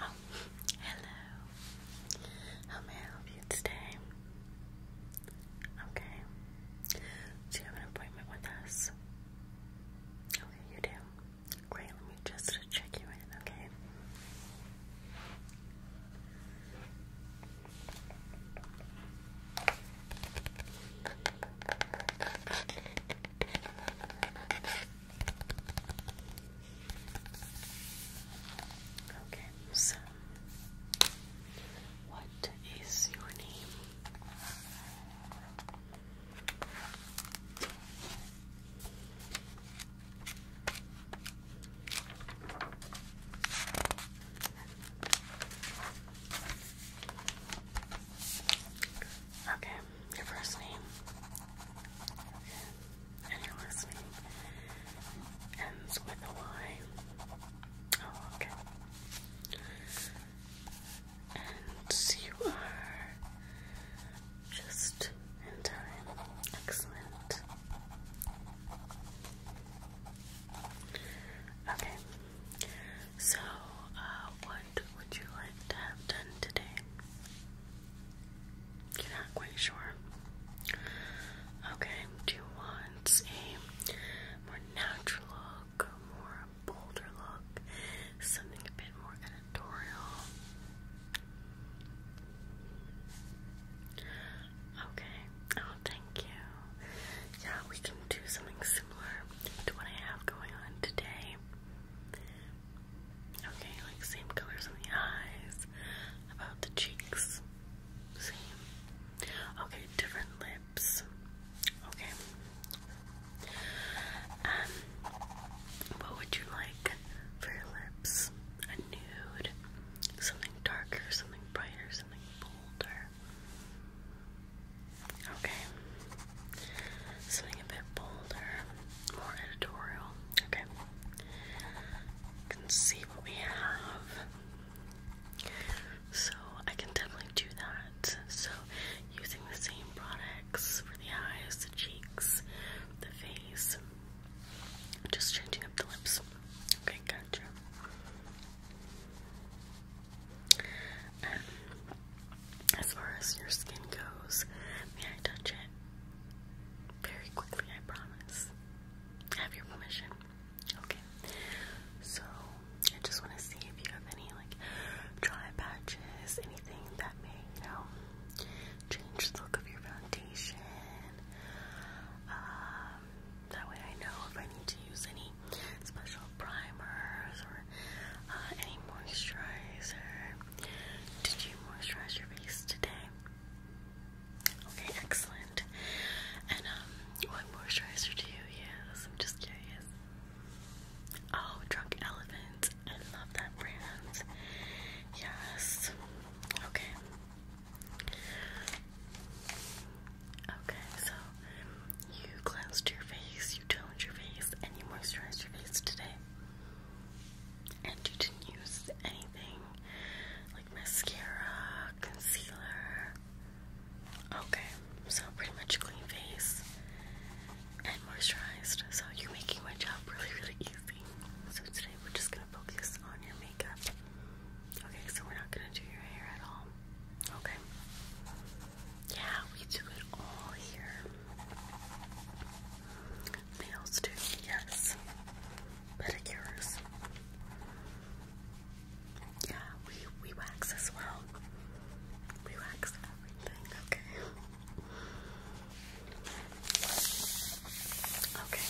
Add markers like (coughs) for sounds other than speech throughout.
Oh, hello. How may I help you today? Okay. Do you have an appointment with us? Okay, you do. Great, let me just check you in, okay? Okay, so what is your name? Okay, your first name and you're listening. Ends with a Y. Oh, okay. And you are just in Excellent. Okay. So, uh, what would you like to have done today? You're not quite sure. Okay, do you want a more natural look, more bolder look, something a bit more editorial? Okay, oh, thank you. Yeah, we can do something similar to what I have going on today. Okay, like same colors on the eyes, about the cheeks, same. Okay, different lips. Okay. Um, what would you like for your lips? A nude, something darker, something brighter, something bolder. Okay. Something a bit bolder, more editorial. Okay can see what we have. So I can definitely do that. So using the same products for the eyes, the cheeks, the face, just changing up the lips. Okay, gotcha. Um, as far as your skin goes, may I touch it? very quickly, I promise. I have your permission. Okay. So I just want to see if you have any like dry patches, anything that may, you know, change the look of your foundation. Um, that way I know if I need to use any special primers or uh, any moisturizer. Did you moisturize your face today? Okay, excellent. And um, what moisturizer do you use? I'm just curious. Oh, Drunk Elephant. I love that brand. Yes. Okay. Okay, so you cleansed your face, you toned your face, and you moisturized your face today and you didn't use anything like mascara, concealer. Okay, so pretty much clean face and moisturized. So you're making my job really, really easy. So today we're just gonna focus on your makeup. Okay, so we're not gonna do your hair at all. Okay. Yeah, we do it all here. Nails too, yes. Pedicures. Yeah, we we wax as well. We wax everything, okay. Okay.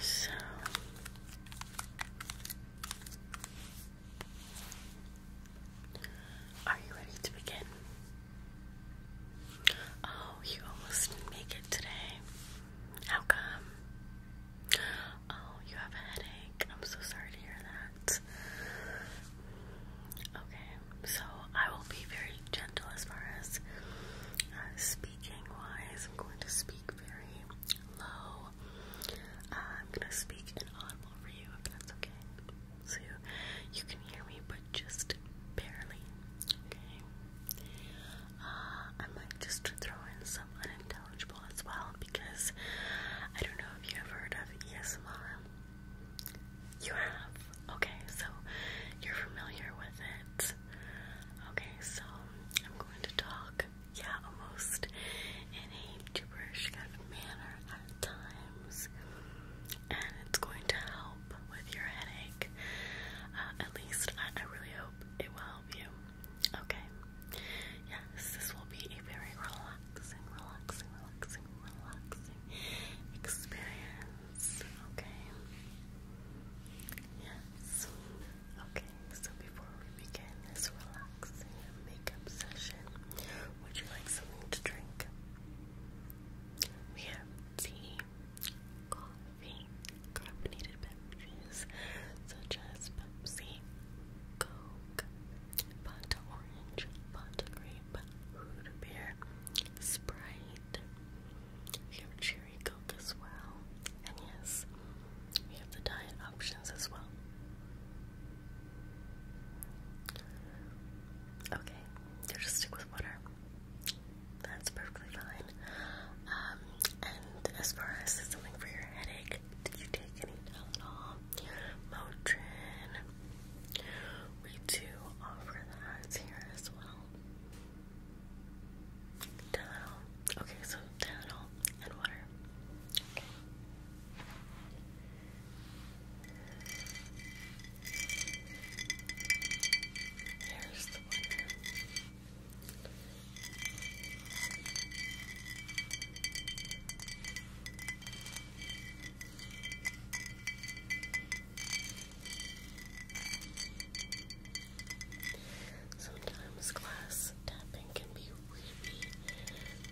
So are you ready to begin? Oh, you almost didn't make it today. How come? Oh, you have a headache. I'm so sorry to hear that. Okay, so I will be very gentle as far as uh, speaking wise. I'm going to speak very low uh, I'm gonna speak in audible for you if that's okay. So you can hear me, but just barely. Okay. Uh, I might just throw in some unintelligible as well because I don't know if you have heard of ESMR. You have? Okay, so you're familiar with it. Okay, so I'm going to talk yeah, almost in a gibberish kind of manner at times, and it's going to help with your headache. Uh, at least I really hope it will help you. Okay. Yes, this will be a very relaxing, relaxing, relaxing, relaxing experience. Okay. Yes. Okay. So before before we begin this relaxing makeup session, would you like something to drink? We have tea, coffee, carbonated beverages such as Pepsi, Coke, Fanta Orange, Fanta Grape, Root Beer, Sprite. We have Cherry Coke as well. And yes, we have the diet options as well. Okay, you just stick with water. That's perfectly fine. Um, and as far as something for your headache, did you take any Tylenol, Motrin? We do offer that here as well. Tylenol. Okay, so Tylenol and water. Here's the Sometimes glass tapping can be really,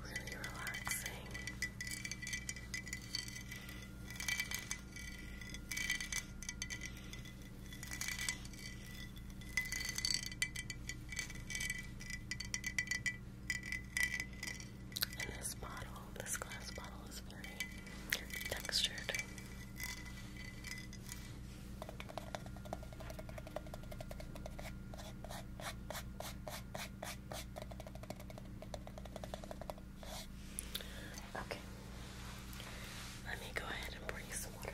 really relaxing. And this bottle, this glass bottle, is very textured. Okay. Let me go ahead and bring some water.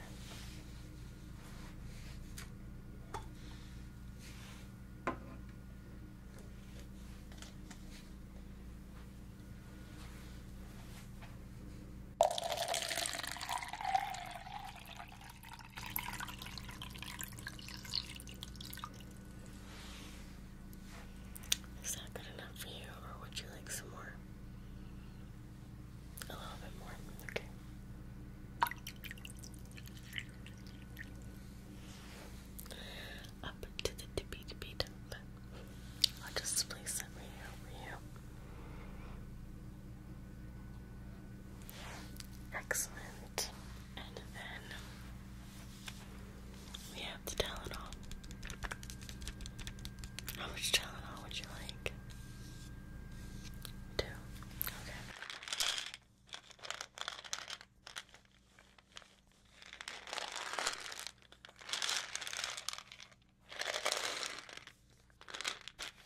Is that good enough for you, or would you like some more? A little bit more, okay. Up to the tippy tippy I'll just place it right over here. Excellent. And then we have Tylenol. How much Tylenol would you like? Two. Okay.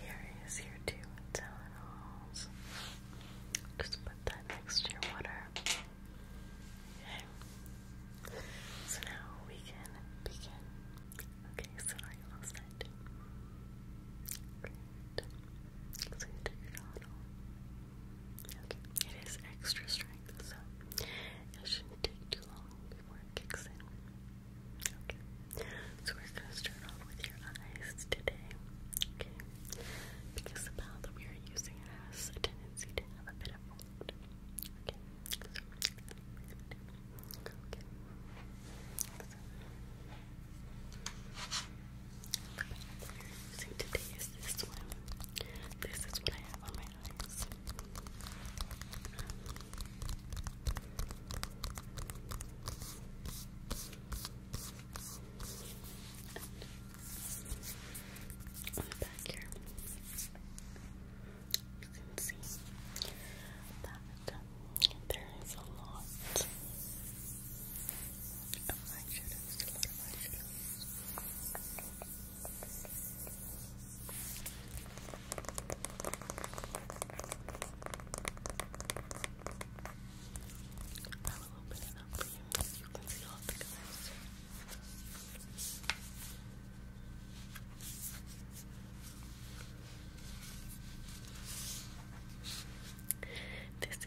Here is your two Tylenols. Just put that next to your water. Okay. So now we can begin. Okay, so are you all set? Great. So you it is extra strength, so it shouldn't take too long before it kicks in. so we're gonna start off with your eyes today, okay? Because the palette we are using has a tendency to have a bit of mold. Okay, so today is this one. This is what I have on my eyes. on the back here, you can see that there is a lot of I will open it up for you so you can see all the colors. This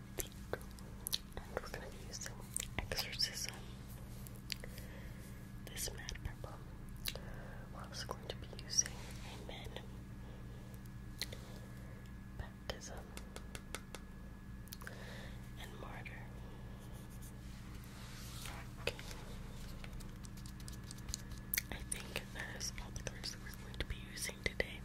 And we're gonna be using Exorcism, this Mad We're also going to be using Amen, Baptism, and Martyr. Okay. I think that is all the colors that we're going to be using today.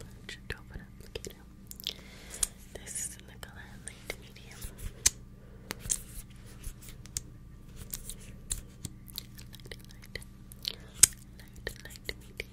Large Dover applicator. This is in the color light medium. Light, light, light, light medium, light medium.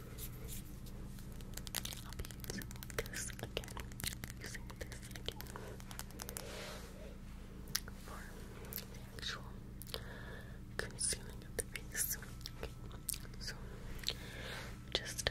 I'll be using this again. Using this again for the actual concealing of the face. So just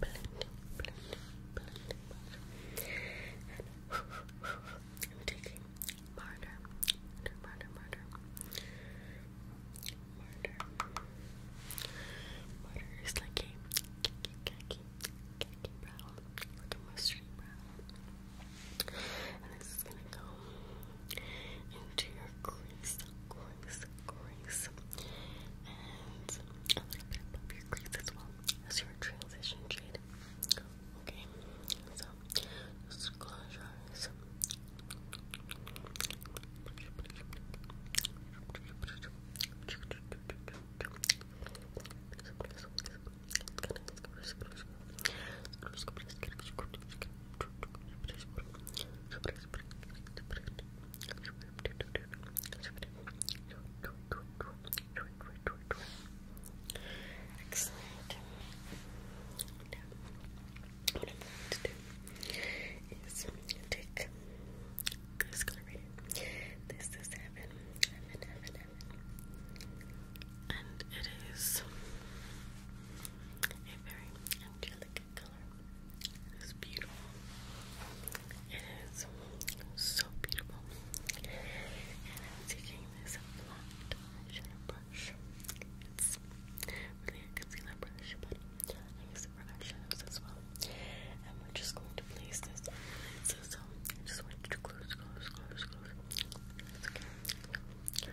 blending, blending, I'm taking Marder, Marder, Marder, Marder. Marder is like a khaki, khaki, khaki brown, like a mustardy brown. And this is gonna go into your crease, crease, crease, and a little bit above your crease as well as your transition shade. Okay, so close your eyes. Excellent. Now, what I'm going to do is take this color This is heaven, And it is a very angelic it is beautiful. It is so beautiful. taking this blonde eyeshadow brush. It's really a concealer brush, but I use it for eyeshadows as well. And we're just going to place this so, just want to close, close, close, close. okay.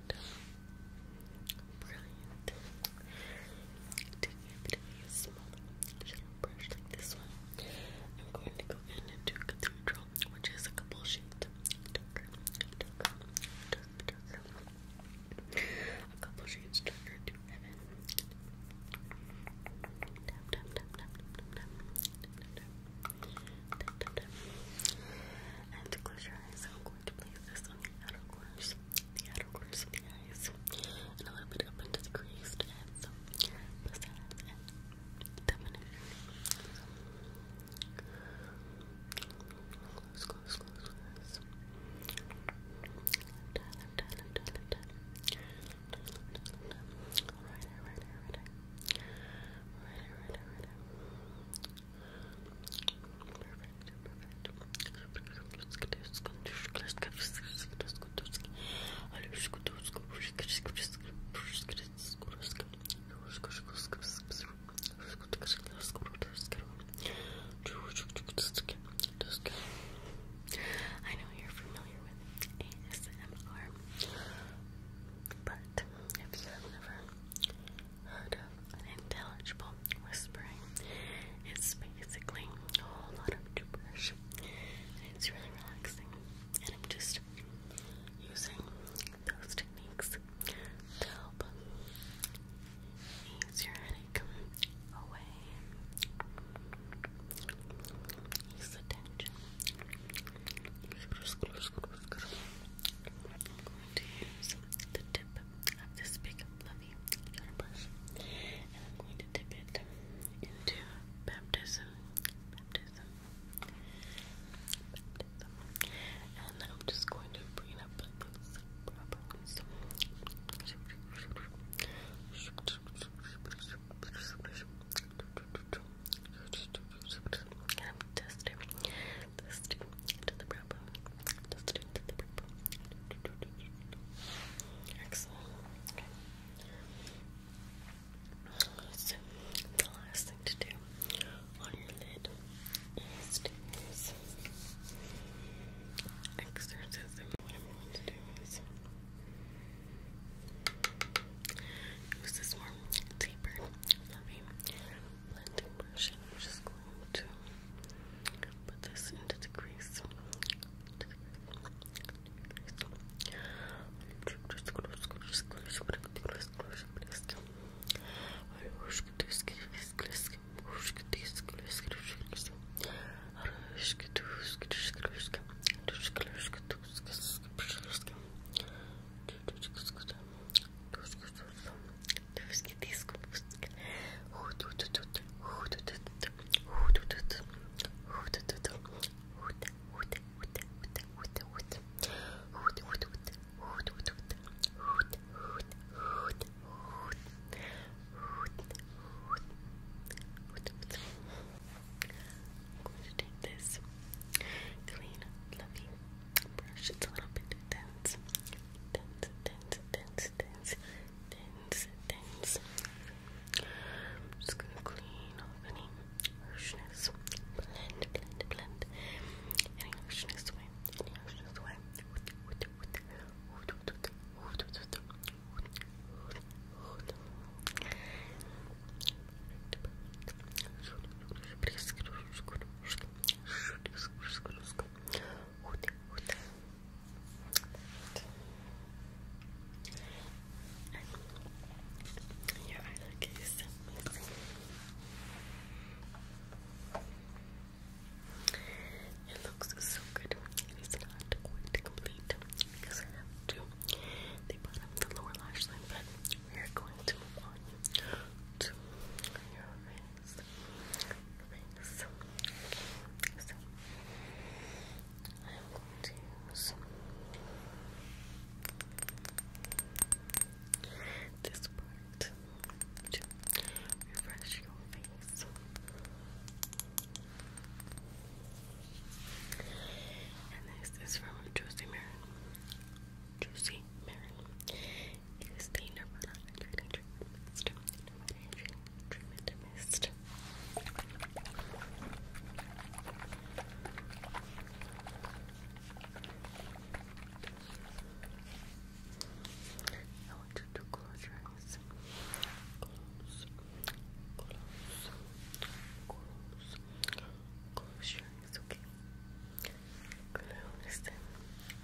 Brilliant. To give a smaller shadow brush like this one, I'm going to go in and do Cathedral, which is a couple shades darker, A couple shades darker And to close your eyes, I'm going to place this on the outer corners corners, the outer corners of the eyes, and a little bit up into the creased ends, besides and definition. Close, close, close, close. Left Right eye, right eye, right eye. Right eye, right eye, right eye. I know you're familiar with ASMR, but if you have never of intelligible whispering. It's basically a whole lot of gibberish. it's really relaxing. And I'm just using those techniques to help ease your headache away. Ease the tension. I'm going to use the tip of this big fluffy little brush, and I'm going to dip it into baptism, baptism, baptism, and I'm just going to bring up like this properly. So, Let's Excellent. Okay. So, the last thing to do on your lid is to What I'm going to do is use this more deeper, fluffy blending brush and I'm just going to put this into the crease. Nóżki disku, nóżki. I'm going to take this clean, loving brush. It's a little bit dense. Dense, dense, dense, dense, dense, dense. I'm just gonna clean off any harshness. Blend, blend, blend. Any harshness away. harshness away. And It looks so good. It is not quite complete because I have to the bottom, the lower lash line, but we are going to move on to your nice. Nice. I'm going to use this part to refresh your face. And this is from Juicy Marin. Juicy Marin is the Nirvana Hydrating Treatment Treatment Mist. I want you to close your eyes. Close, close, close, close your eyes, okay? Closed.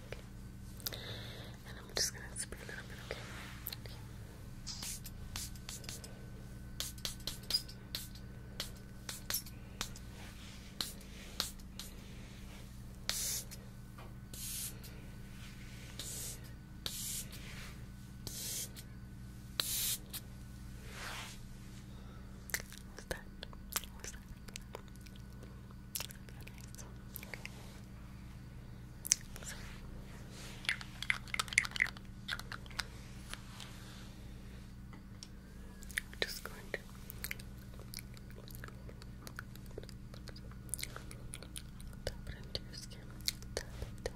Okay. I'm just gonna spray a little bit, okay? What's that? What's that? nice. Okay. Just going to tap it into your skin. Tap it, tap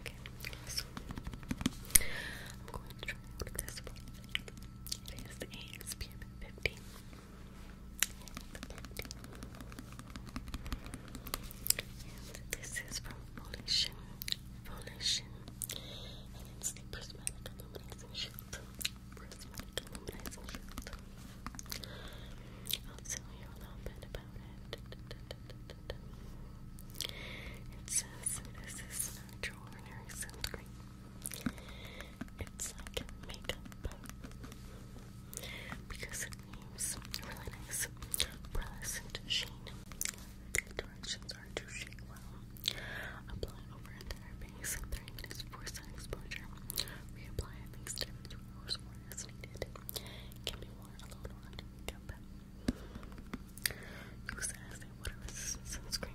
Okay, so I'm going to try this one. It is the ASPM 15. this is from Volition. Volition. And it's the Prismatic Illuminizing Shield. Prismatic Illuminizing Shield. I'll tell you a little bit about it. It says this is an extraordinary sunscreen. It's like makeup because it leaves really nice pearlescent sheen. directions are to shake well, apply over entire face in 30 minutes for sun exposure, reapply at least every two hours or as needed. Can be worn alone or cup. Use it as a water sunscreen.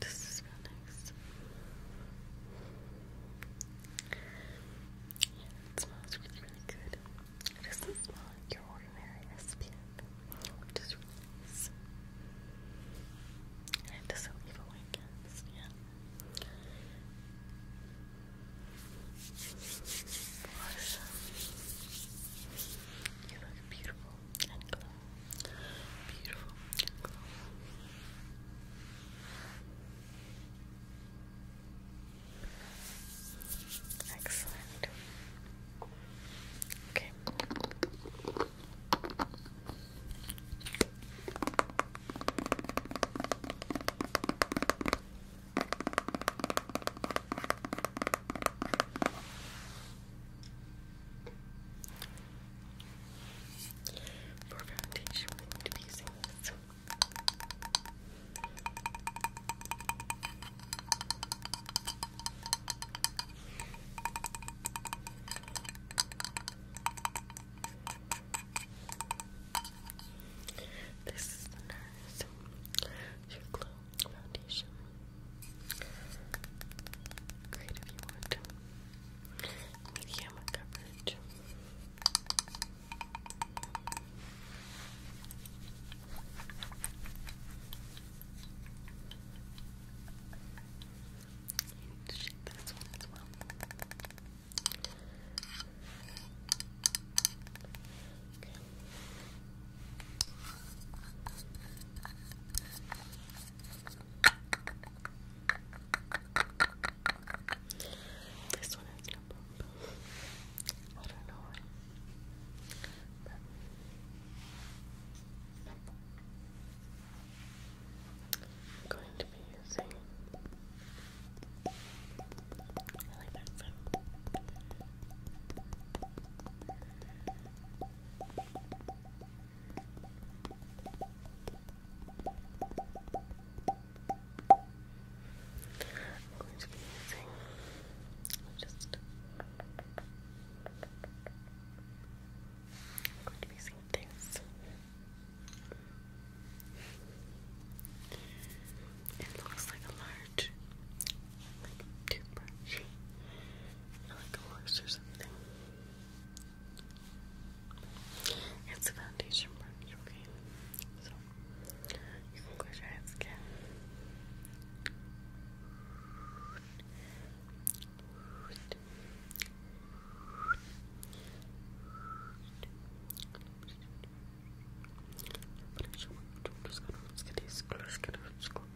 This is real nice. it smells really, really good. It doesn't smell like your ordinary SPF, which is really nice. And it doesn't leave a white cast, yeah. You look beautiful and glowing. Beautiful. Excellent. Okay. For foundation, we need to be using this. is the NARS Your Glow Foundation. Great if you want medium coverage. You shake this one as well. Okay. This one has no I don't know why. I'm going to be using. I'm going to be using I'm going to be using this it looks like a large like toothbrush like a horse or something. It's a foundation brush, okay? So, you can close your eyes again. let's get these, let's get these,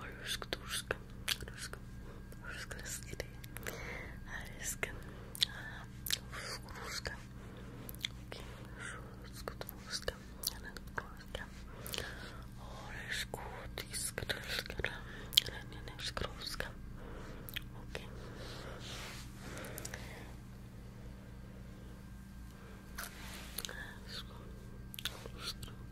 Rusk, Rusk, Rusk, Rusk, Rusk, Rusk, Okay, Rusk, Rusk, Okay. Rusk, Rusk,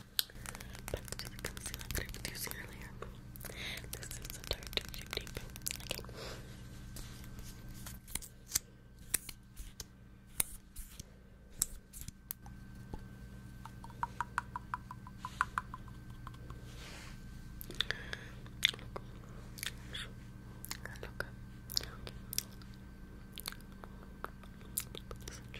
But I'm just that I was using earlier. This is a dark shape Okay. Look. Okay. Look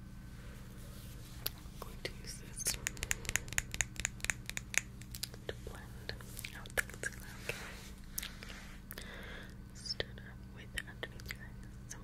I'm going to use this to blend out the okay. Start up with underneath your eyes. Okay.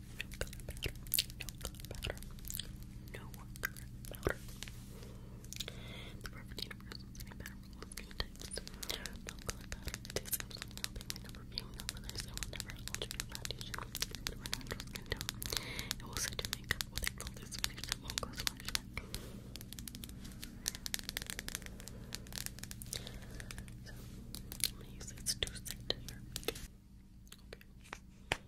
color powder, no color powder, no color powder. The perfect universal setting powder for all skin types. No color powder, it tastes absolutely nothing. My number being no colors, it will never alter your foundation or natural skin tone. It will set your makeup with a flawless finish that won't go splash back. So, I'm gonna use this to set your makeup. Okay.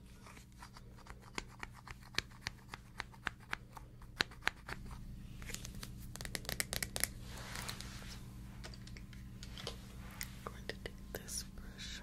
I'm going to take this brush.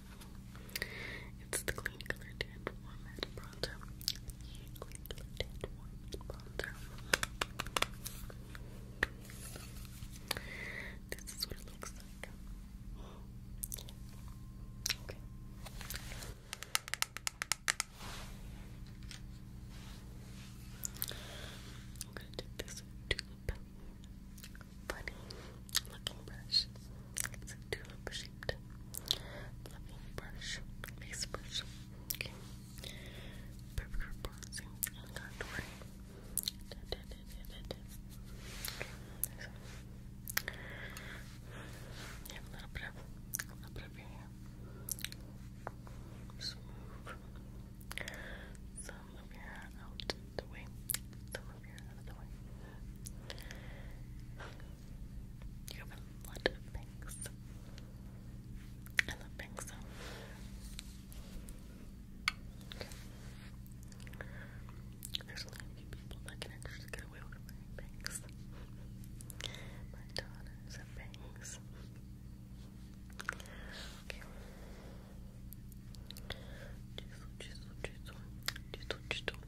It's the clean color tint warm matte bronzer. Clean color tint warm matte bronzer. This is what it looks like. Okay. I'm gonna do this tube. Funny looking brush. It's a tulip shaped fluffy brush, base brush. Okay. Perfect for bronzing and contouring. Da, da, da, da, Okay. So, you have a little bit of, a little bit of hair. Just move of your hair out the way. Some of your hair out the way. You have a lot of pinks. I love pinks Okay. There's only a few people that can actually get away with wearing pinks. My daughters have pinks. Okay. Chisel, chisel, chisel, chisel, chisel.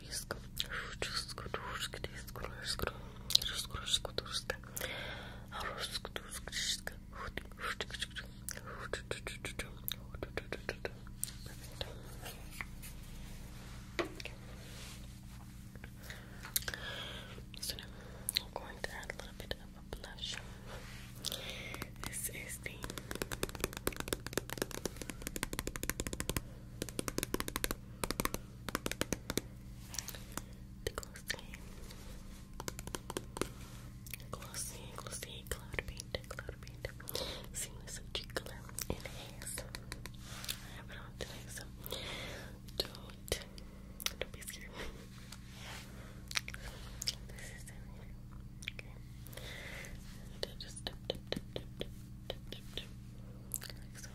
So now I'm going to add a little bit of a blush. This is the the glossy, glossy, glossy cloud paint, cloud paint. Seamless cheek color and haze. I have it on today, so don't, don't be scared. (laughs) this is it. Okay. And just dip, dip, dip, dip, dip, dip, dip, dip. Like so.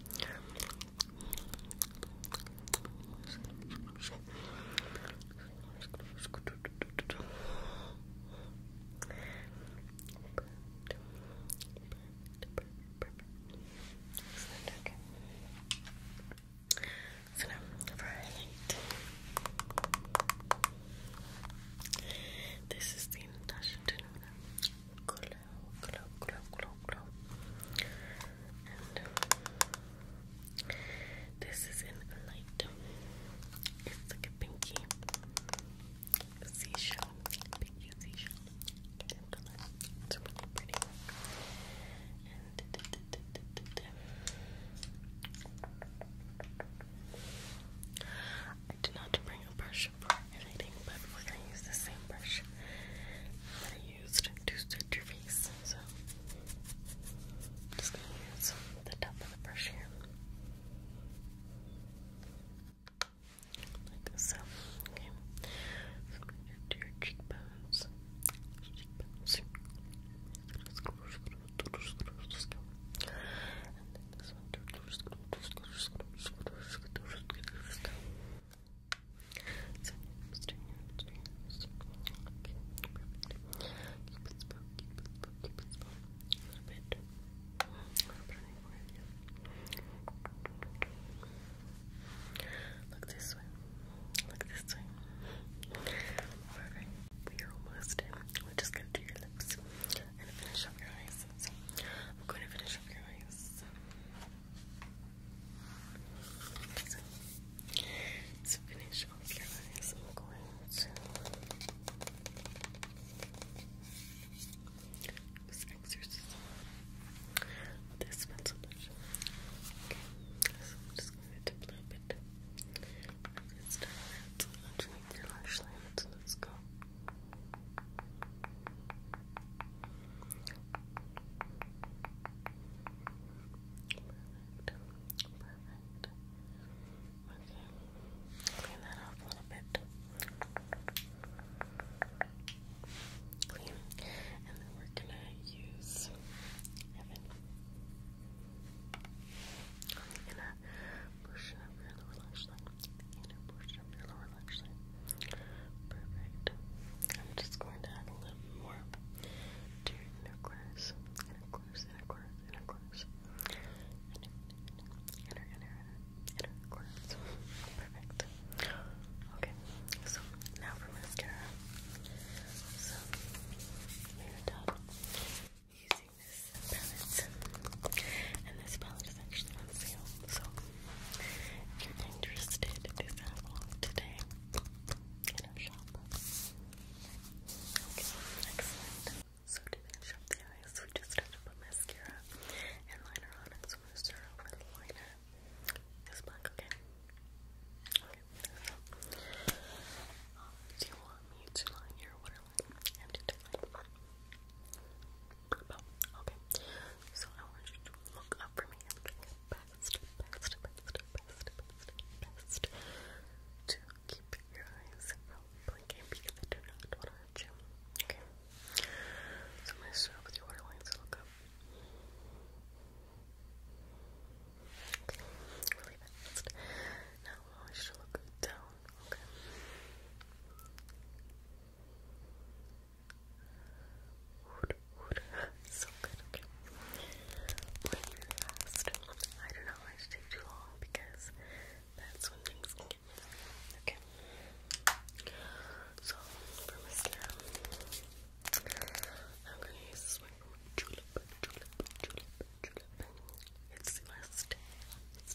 Perfect, okay. So now for highlight. This is the Natasha Denona Color this is in light. It's like a pinky seashell, pinky seashell. It's really pretty. I did not bring a brush brush but we're gonna use the same brush that I used to search your face. So am just gonna use the top of the brush here. Like so. Okay. your cheekbones. Cheekbones. Look this way. Look this way. Alright, we are almost in. We're just gonna do your lips and finish up your eyes. So I'm going to finish much of So, finish off your eyes, I'm going to use This pencil Okay, just going to dip a little bit. Let's start underneath your lash line. let's go. Perfect. Perfect. Okay. Clean that off a little bit. Clean. And then we're gonna use Evan. I'm gonna brush up your lash line. The inner portion of your lower actually. Perfect. I'm just going to add a little more to inner course, inner course, inner course, inner inner, inner, inner, inner, Perfect. Okay, so now for mascara. So, we are done using this palette. And this palette is So if you're interested, do that today in our shop. Okay, excellent. So to finish up the eyes, we just have to put mascara and liner on it. So i gonna start off with liner. It's black, okay? Okay, um, do you want me to line your waterline Okay, so I want you to look up for me. best, best, best, best, best, best, to keep your eyes from blinking because I do not want to hurt you. Okay, so I'm going to start with your waterline, so look up. Okay, really fast. Now I want you to look down, Okay, so good, okay. When I do not like to take too long because that's when things get okay? So, for mascara, I'm going to use this one It's Celeste. It's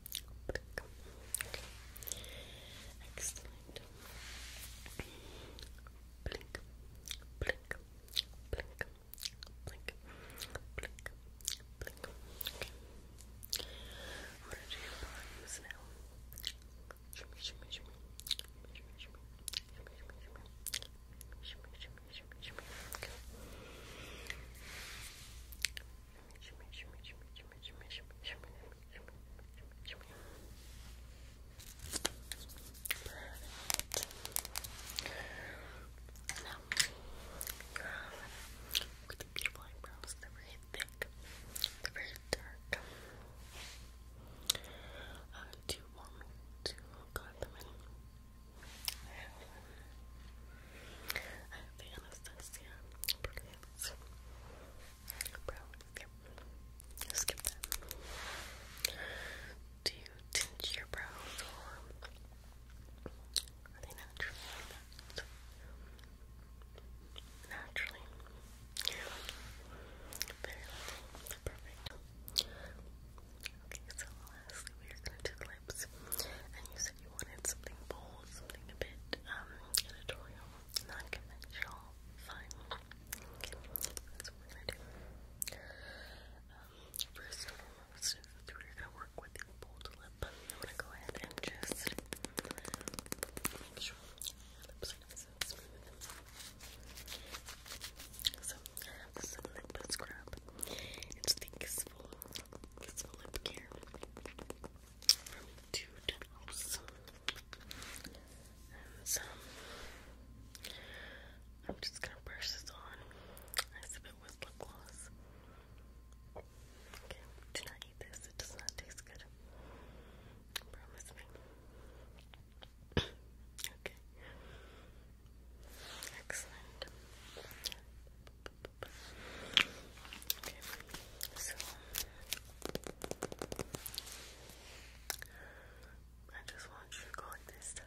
Okay. Excellent. Blink, blink, blink, blink, blink, blink. Okay. I'm gonna do your palms now. Shimmy, shimmy, shimmy, shimmy, shimmy, shimmy, shimmy, shimmy, shimmy, shimmy, shimmy, shimmy. Okay. Now, you beautiful eyebrows. They're very thick. They're very dark. Uh, do you want me to cut them in? I have the Anastasia Brow, Skip that. Do you tint your brows or are they naturally Naturally. You're like Perfect. Okay, so lastly we are gonna do the lips, and you said you wanted something bold, something a bit um, editorial, non-conventional, fun. that's what we're gonna do. Um, first and foremost, we're gonna work with the bold lip. I'm gonna go ahead and just make sure your lips are nice and smooth. So I have this lip scrub. It's the Kissful, Lip Care I'm just gonna burst this on as if it was lip gloss. Okay, do not eat this, it does not taste good. (coughs) okay. Excellent. Okay, I just want you to this.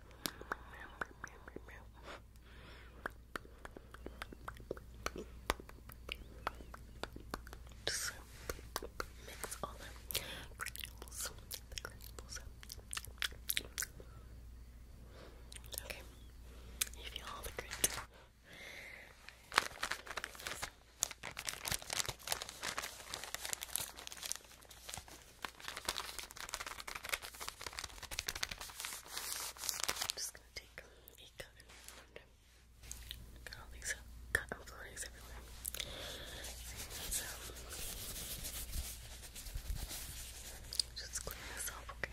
Just mix all the granules, the you all the granules. I'm just gonna take a cotton got all these cotton florets everywhere. So just clean this okay?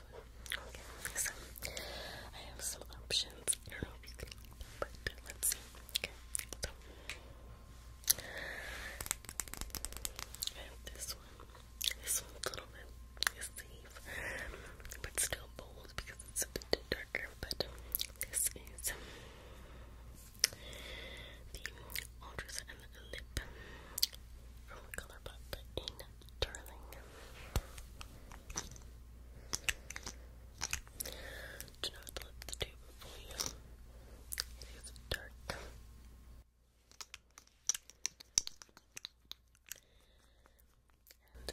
Okay, so I have some options. I don't know if you can, but let's see. Okay, so this one. This one's a little bit safe, but still bold because it's a bit darker. But this is the Ultras and the Lip from Colourpop in Darling. Do not let the tube fool you. It is dark.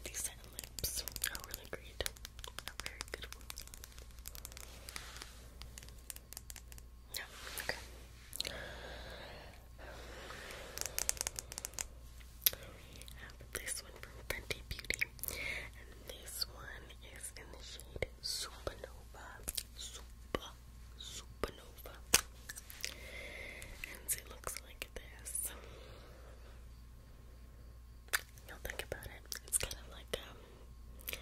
these set lips are really great. A very good one. No, okay. We have this one from Fenty Beauty, and this one is in the shade Supernova. Supernova. And it looks like this. Now think about it. It's kind of like um,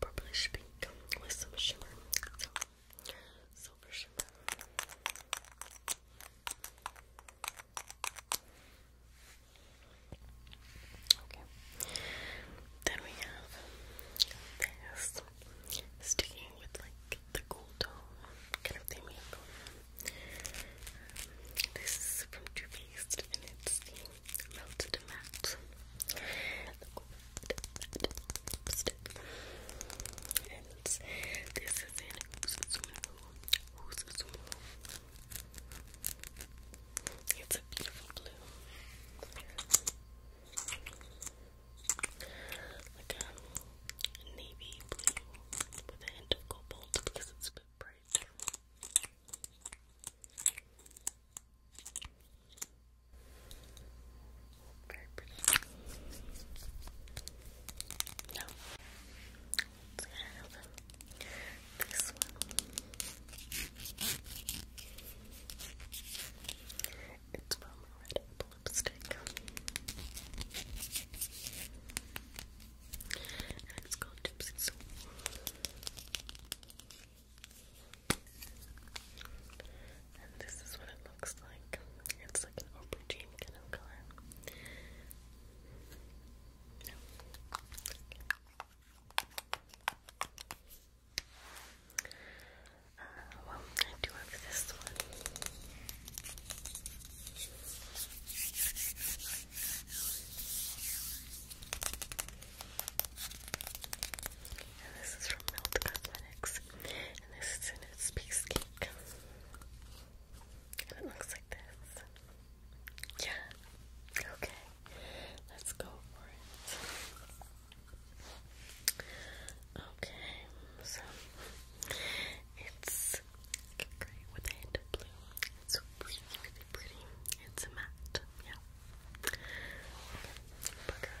purplish pink with some shimmer. silver shimmer. Okay. Then we have this sticking with like the cool tone kind of thing um, this is from True Paste and it's the melted matte. And this is in Who's this It's a beautiful blue. Like a navy blue with a hint of cobalt because it's a bit bright. Very pretty. No this one. It's from Red Lipstick. And it's called Gypsy And this is what it looks like. It's like an aubergine kind of color. No. Okay. Uh, well, I do have this one. this is from Melt Cosmetics. And this is in its piece cake it looks like this. Yeah. Okay. Let's go for it. Okay. So it's gray with a hint of blue. It's really, really pretty. It's a matte. Yeah. Okay. Bugger.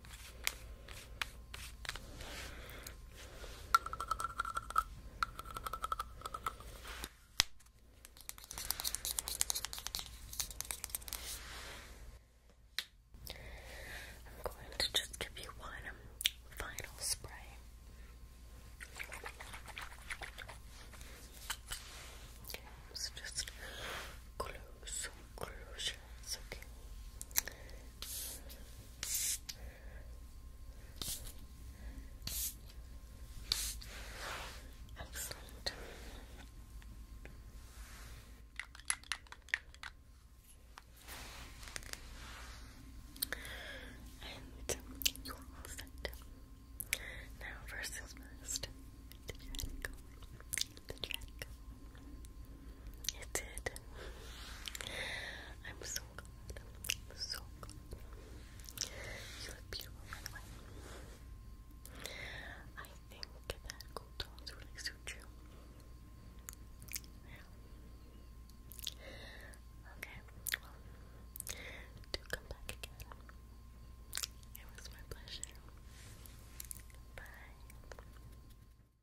I'm going to just give you one final spray. just close, close your okay? Excellent. And you're all set. Now, first things first, the chat The chat it did. I'm so glad. so glad. You look beautiful, by I think that cool tones really suit you. Okay, well, do come back again. It was my pleasure. Bye.